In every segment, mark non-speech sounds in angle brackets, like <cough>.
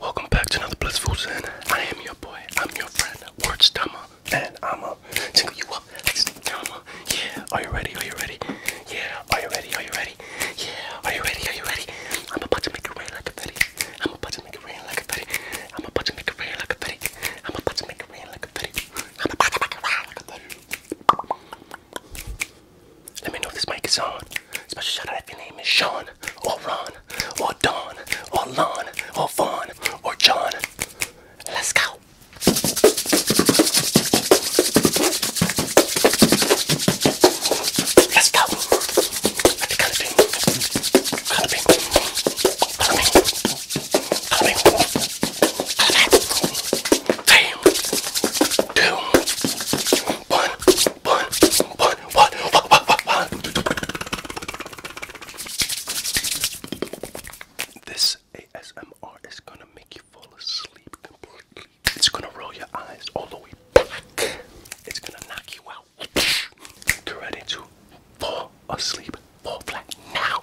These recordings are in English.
Welcome back to another Blissful Zen. I am your boy, I'm your friend, Word Stammer, and I'ma you up. Stammer. Yeah, are you ready? Are you ready? Yeah, are you ready? Are you ready? ready? Yeah, are you ready? Are you ready? I'm about to make it rain like a fetty. I'm about to make it rain like a fetty. I'm about to make it rain like a fetty. I'm about to make it rain like a fetty. I'm about to make it rain like a fetty. Let me know if this mic is on. Special shout out if your name is Sean or Ron or Don or Lon or Vaughn or John. Let's go. Let's go. At the canopy. Canopy. Canopy. Canopy. Three. Two. One. One. One. This ASMR is gonna make you fall asleep completely. It's gonna roll your eyes all the way back. It's gonna knock you out. Get ready to fall asleep, fall flat now.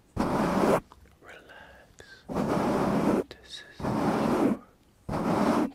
Relax. This is your level.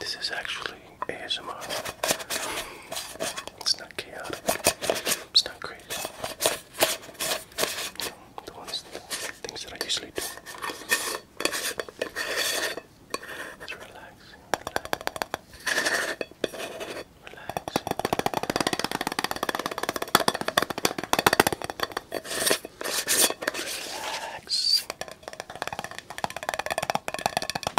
This is actually ASMR. It's not chaotic. It's not crazy. You know, the ones, things that I usually do. It's relaxing, relaxing. Relax.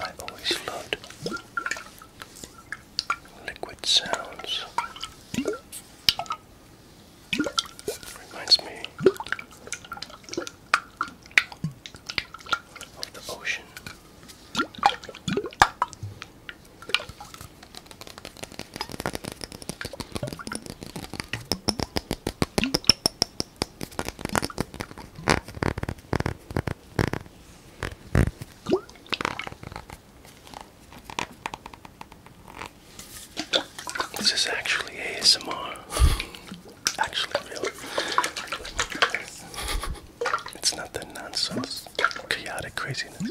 I always loved liquid sounds. Reminds me of the ocean. This is actually ASMR. <laughs> actually real. It's not the nonsense, chaotic craziness.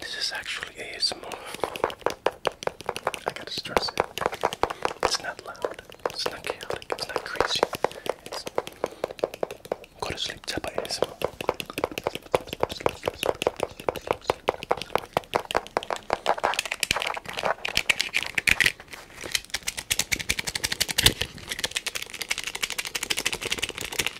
This is actually ASMR. I gotta stress it. It's not loud. It's not chaotic. It's not crazy. It's to sleep. Tap ASMR.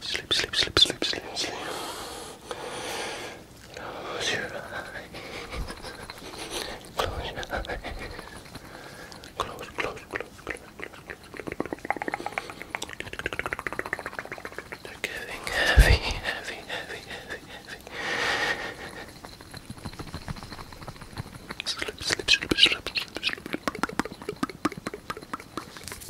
Sleep, sleep, sleep, sleep, sleep, sleep. Close your eyes. Close your eyes. Close, close, close, close, close. They're getting heavy, heavy, heavy, heavy, heavy. Slip, slip, slip, slip, slip, slip.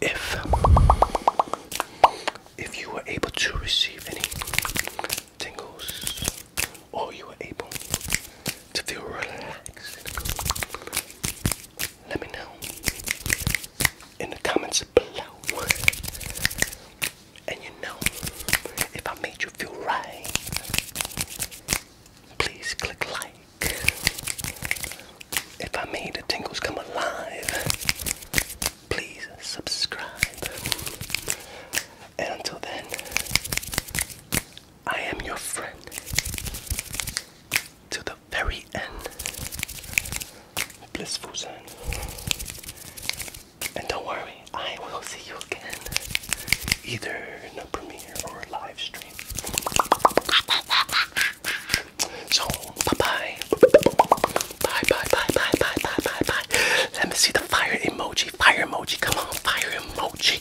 If if you were able to receive any tingles or you were able to feel relaxed, let me know in the comments below. And you know, if I made you feel right, please click like. If I made the tingles come alive, please subscribe. And until then, I am your friend to the very end. Blissful Zen. And don't worry, I will see you again. Either in a so, bye-bye. Bye-bye-bye-bye-bye-bye-bye. Let me see the fire emoji. Fire emoji. Come on, fire emoji.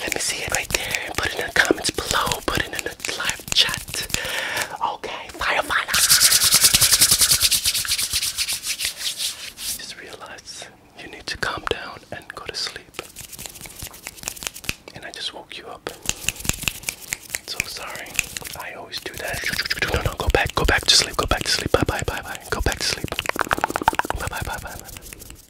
Let me see it right there. and Put it in the comments below. Put it in the live chat. Okay, fire, fire. Just realized you need to calm down and go to sleep. And I just woke you up. So sorry. I always do that. No, no, go back, go back to sleep, go back to sleep. Bye bye, bye bye. Go back to sleep. Bye bye, bye bye, bye.